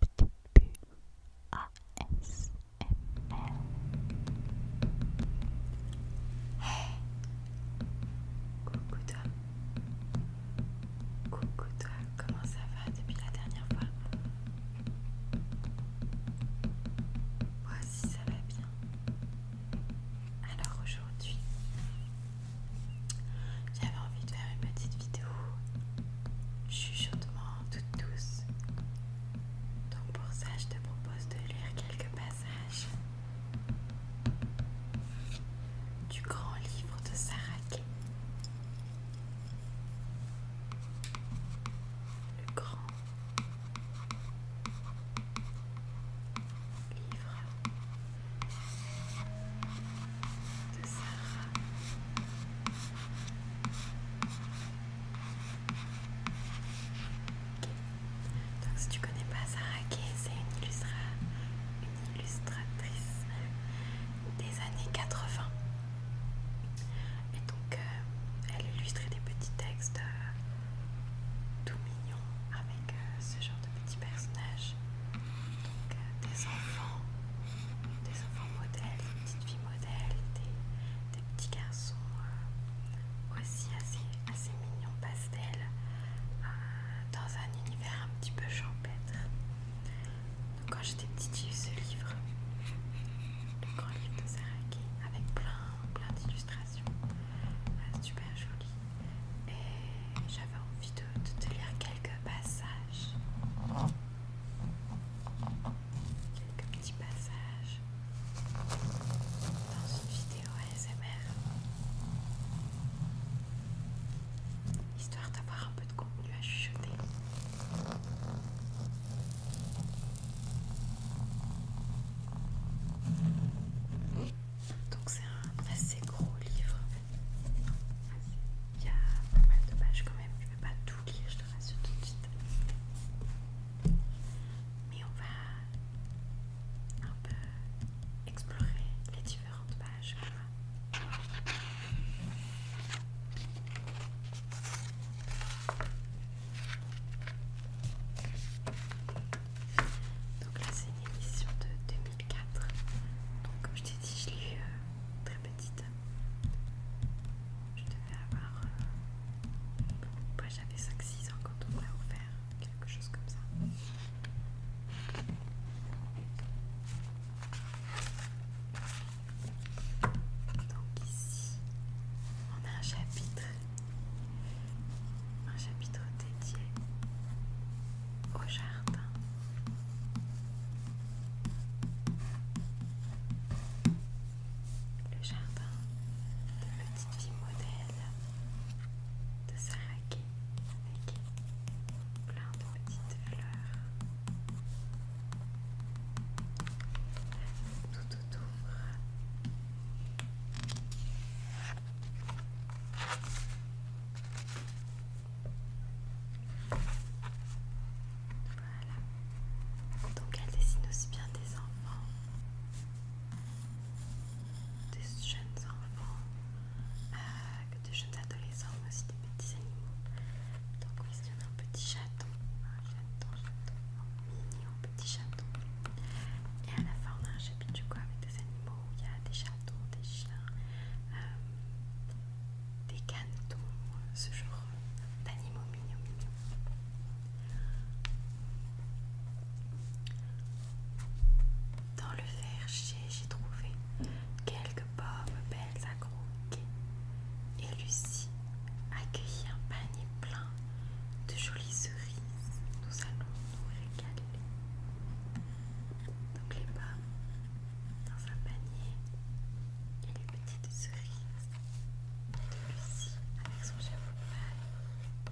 Coucou toi. Coucou toi, comment ça va depuis la dernière fois Moi ça va bien. Alors aujourd'hui, j'avais envie de faire une petite vidéo chuchotement, toutes tous. Donc pour ça, je te propose de lire quelques passages du grand livre de Sarah Le grand livre de Sarah donc si tu connais pas Sarah Key, c'est une, illustratrice des années 80. Et donc euh, elle illustrait des petits textes euh, tout mignons avec euh, ce genre de petits personnages euh, des enfants, des enfants modèles, des petites filles modèles, des, petits garçons euh, aussi assez, mignons, pastels, euh, dans un univers un petit peu champêtre. Donc quand j'étais petite, j'ai eu ce livre, le grand livre de Saraki, avec plein, plein d'illustrations, super joli, Et j'avais envie de, te lire quelques passages. Quelques petits passages dans une vidéo ASMR. Histoire d'avoir un peu de contenu à chuchoter. Donc c'est un assez gros livre. Il y a pas mal de pages quand même, je vais pas tout lire, je te rassure tout de suite. Mais on va un peu explorer les différentes pages. Donc là c'est une émission de 2004. Donc comme je t'ai dit, je l'ai eu très petite. Je devais avoir. Euh, j'avais 5-6 ans quand on m'a offert, quelque chose comme ça. Donc, ici, on a un chapitre. Un chapitre dédié au jardin. Le jardin de petite fille modèle de Saraki avec plein de petites fleurs tout autour. Voilà. Donc elle dessine aussi bien des enfants, des jeunes enfants, euh, que des jeunes adolescents, mais aussi des petits animaux. Donc ici on a un petit chaton, un chaton, chaton, un mignon petit chaton. Et à la fin, on a un chapitre quoi avec des animaux il y a des chatons, des chiens. Euh, des canetons, ce genre d'animaux mignons mignons. Dans le verger, j'ai trouvé quelques pommes belles à croquer et Lucie a cueilli un panier plein de jolies cerises. Nous allons nous régaler donc les pommes dans un panier et les petites cerises de Lucie avec son chapeau de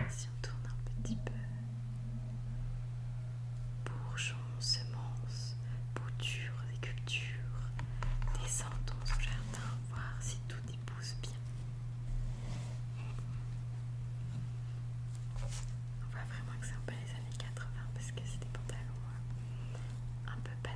Là, si on tourne un petit peu, bourgeons, semences, boutures et cultures, descendons au jardin voir si tout pousse bien. On voit vraiment que c'est un peu les années 80 parce que c'est des pantalons euh, un peu pas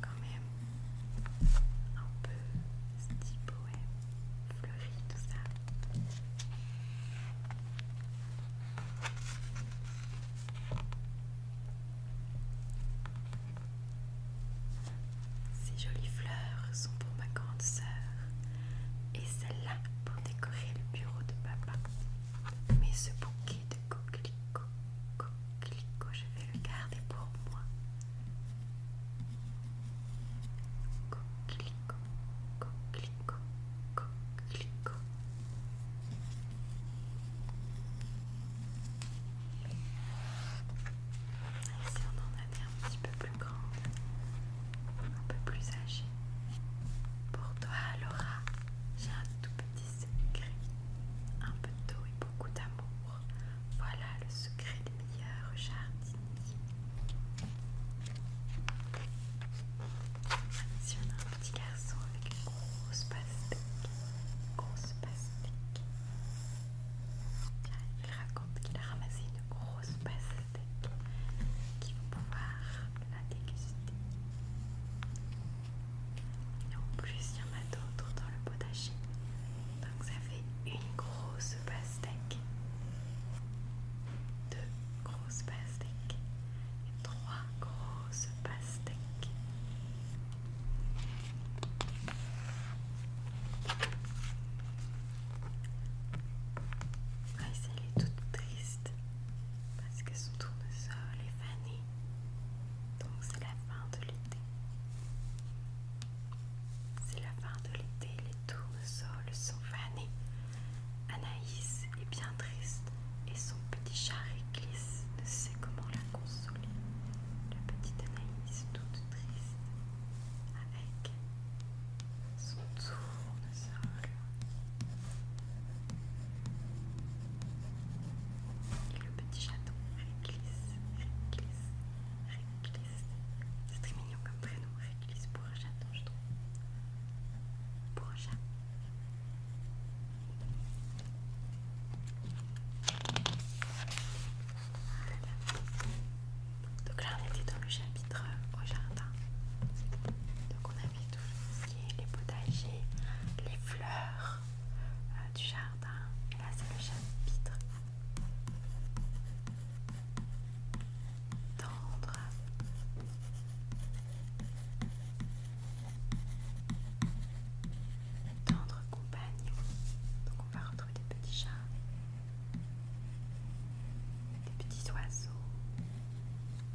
quand même, un peu style fleuri, tout ça. Ces jolies fleurs sont pour ma grande sœur et celle-là pour décorer le bureau de papa. Mais ce bouquet de coquelicot, coquelicot, je vais le garder pour moi. Coquelicots, coquelicots, Ici si on en a des un petit peu plus grandes, un peu plus âgé. Pour toi, Laura, j'ai un tout petit secret. Un peu d'eau et beaucoup d'amour. Voilà le secret des meilleurs jardiniers. Si on a un petit garçon avec une grosse pastèque, grosse pastèque, il raconte qu'il a ramassé une grosse pastèque qui va pouvoir la déguster. Et en plus, il y en a d'autres dans le potager. Donc ça fait une grosse pastèque. Deux grosses pastèques. Et trois grosses pastèques. Ah, elle est toute triste parce que son tournesol est fané. Donc c'est la fin de l'été. C'est la fin de l'été, les tournesols sont fanés. Anaïs est bien triste et son petit et glisse, ne sait comment consoler, la petite Anaïs toute triste avec son tournesol. Et le petit chaton Réglisse, Réglisse, Réglisse. C'est très mignon comme prénom, Réglisse pour un chaton, je trouve. Pour un chat. Donc là on était dans le chapitre euh, au jardin. Donc on avait tout ce qui les potagers, les fleurs euh, du jardin. Et là c'est le chapitre tendre. Tendre compagne. Donc on va retrouver des petits chats, des petits oiseaux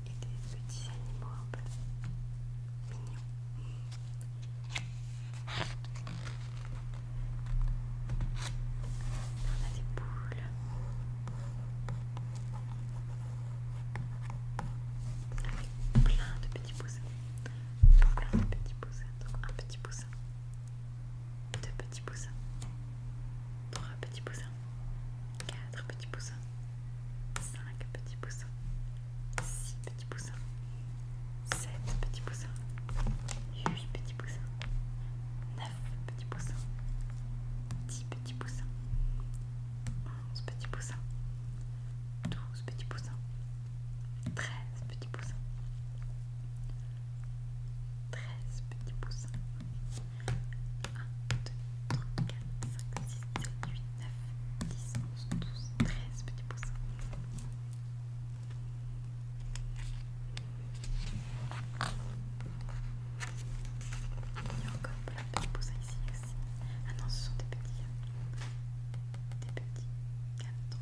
et des petits animaux un peu mignons. On a des boules Avec plein de petits poussins un petit poussin. un petit poussin, deux petits poussins, trois petits poussins, quatre petits poussins, cinq petits poussins, six petits poussins, sept petits poussins, huit petits poussins, neuf petits poussins, dix petits poussins. 11 petits poussins, 12 petits poussins, 13 petits poussins, 13 petits poussins, 1, 2, 3, 4, 5, 6, 7, 8, 9, 10, 11, 12, 13 petits poussins. Il y a encore plein de petits poussins ici, ah non, ce sont des petits. Hein. Des petits cantons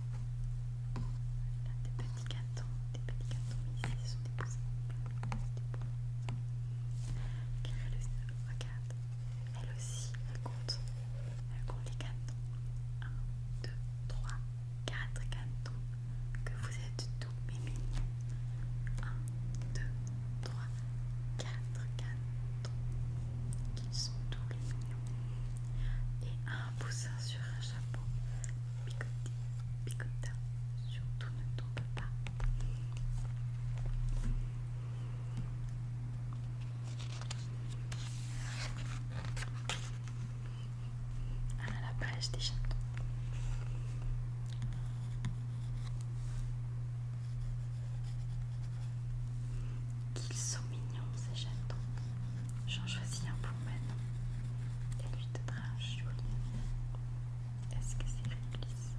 des petits cantons Des petits mais Ici, ce sont des poussins. Regarde. Elle aussi, elle compte. Elle compte les cantons 1, 2, 3, 4 cantons Que vous êtes tous 1, 2, 3, 4 4 qui sont tous les mignons et un poussin sur un chapeau picoté, picota, surtout ne tombe pas. Ah, la pêche des chatons. Qu'ils sont mignons ces chatons. J'en choisis un pour maintenant. Elle lui donnera un joli Est-ce que c'est réglisse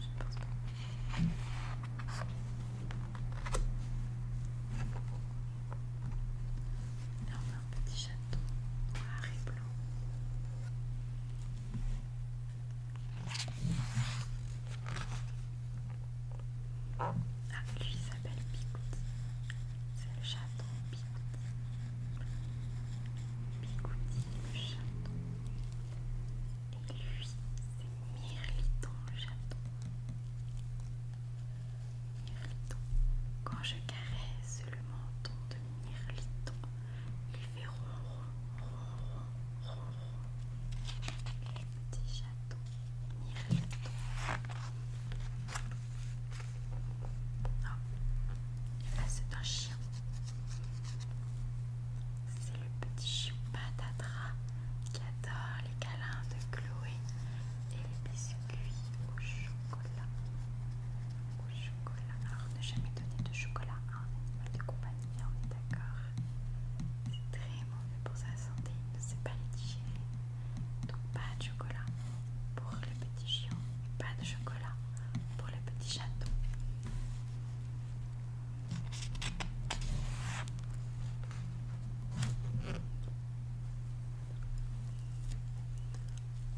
Je ne pense pas. Là on a un petit chaton noir et blanc. Ah, lui s'appelle Bigouti. C'est le chaton Bigouti. Bigouti, le chaton. Et lui, c'est Mirliton, le chaton. Mirliton. Quand je caresse le menton de Mirliton, il fait ronron, ronron, le Petit chaton, mille chatons. Oh, c'est un chien. C'est le petit chien patatras qui adore les câlins de Chloé et les biscuits au chocolat. Au chocolat. Alors ne jamais donner de chocolat un animal de compagnie, on est d'accord. C'est très mauvais pour sa santé, il ne sait pas les digérer. Donc pas de chocolat pour le petit chien pas de chocolat pour le petit château.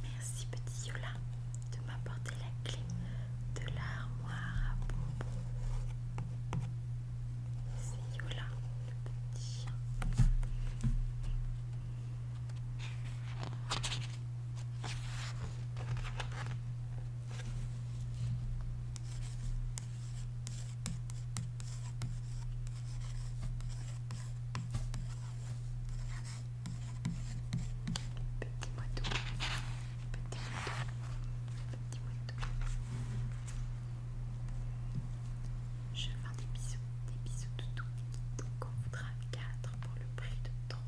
Merci petit Yola de m'apporter la clé de l'armoire à bonbons. C'est Yola, le petit chien. Petit moineau. Petit moineau. Petit moineau. Je vends des bisous. Des bisous doux Donc on voudra 4 pour le prix de 3.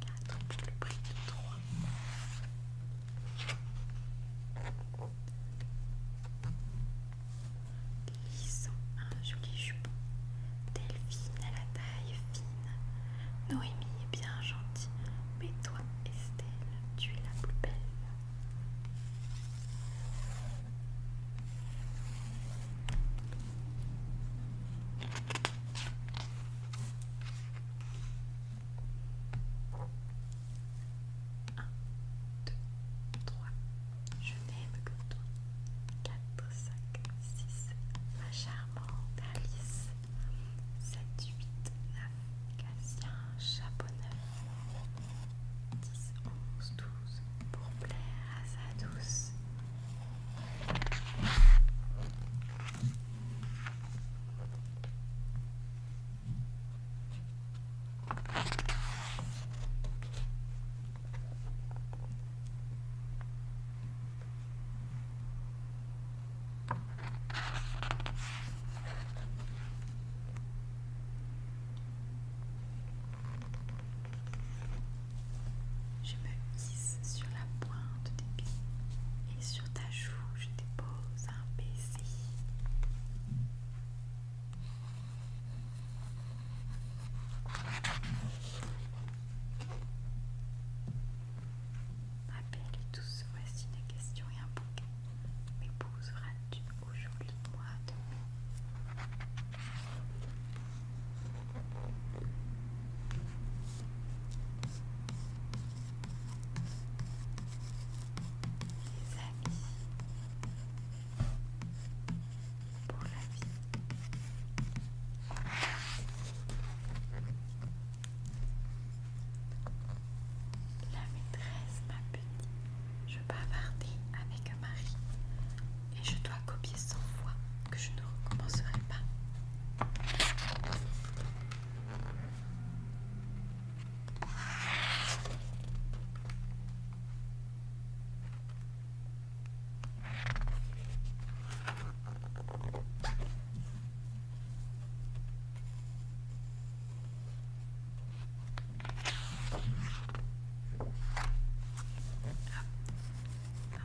4 pour le prix de 3. Ils un joli jupon. Delphine à la taille fine. Noémie est bien gentille, mais toi, Estelle, tu es la plus belle. Un, deux, Je n'aime que toi. 4, 5, 6, ma charmante Alice, 7, 8, 9, Cassien, chapeau neuf, 10, 11, 12, pour plaire à sa douce. Je me hisse sur la pointe des pieds et sur ta joue, je dépose un baiser et tous, voici des questions et un bouquet. M'épouseras-tu aujourd'hui, moi, demain les amis, pour la vie. La maîtresse m'a puni. Je bavardais avec Marie et je dois copier son voix que je ne recommencerai pas.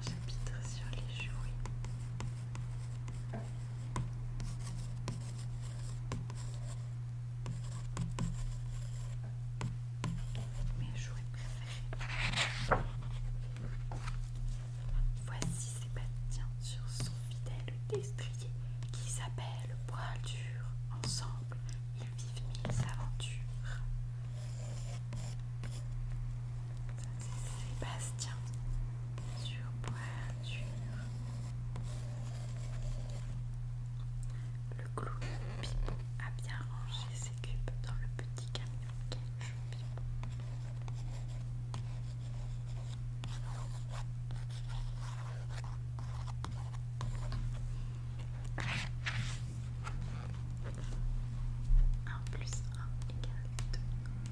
J'habite sur les jouets. Mais Voici Sébastien sur son fidèle destrier qui s'appelle Poil dur. Ensemble, ils vivent mille aventures. Sébastien sur le clown Pipo a bien rangé ses cubes dans le petit camion 1 Pipo. 1 plus 1 égale 2.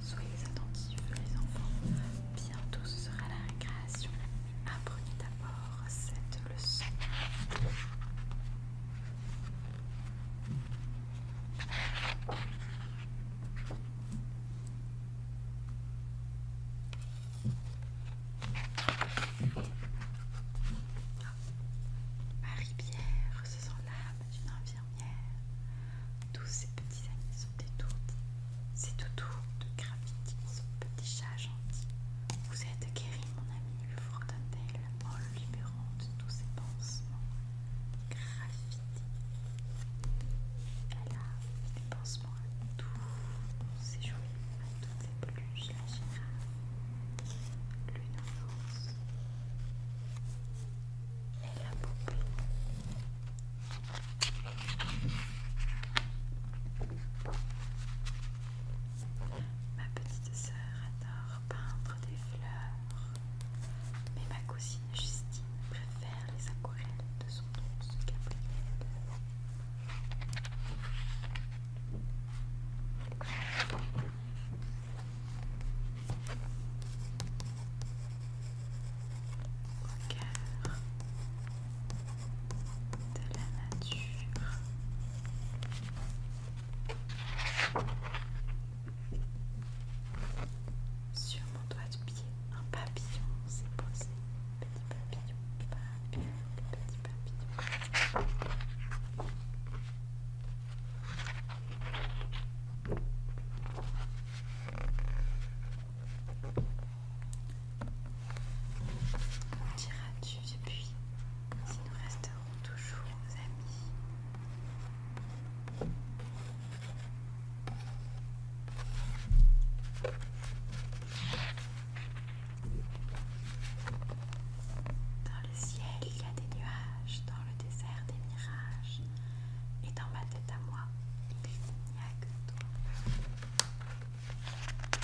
Soyez attentifs les enfants. Bientôt ce sera la récréation. Apprenez d'abord cette leçon marie bière se sent l'âme d'une infirmière. Tous ses petits amis sont étourdis. C'est doudous de gravité son petit chat gentil. Vous êtes guéri. Et mon ami lui en le libérant de tous ses pansements graffitis. Elle a des pansements à tous ses jouets, à toutes ses peluches, la générale, l'une danse et la poupée. Ma petite sœur adore peindre des fleurs, mais ma cousine Justine préfère les aquarelles de son oncle Gabriel de la nature. Sur mon doigt de pied, un papillon s'est posé. Petit papillon, papillon, petit papillon sais depuis si nous resterons toujours amis. Dans le ciel, il y a des nuages, dans le désert, des mirages, et dans ma tête à moi, il n'y a que toi.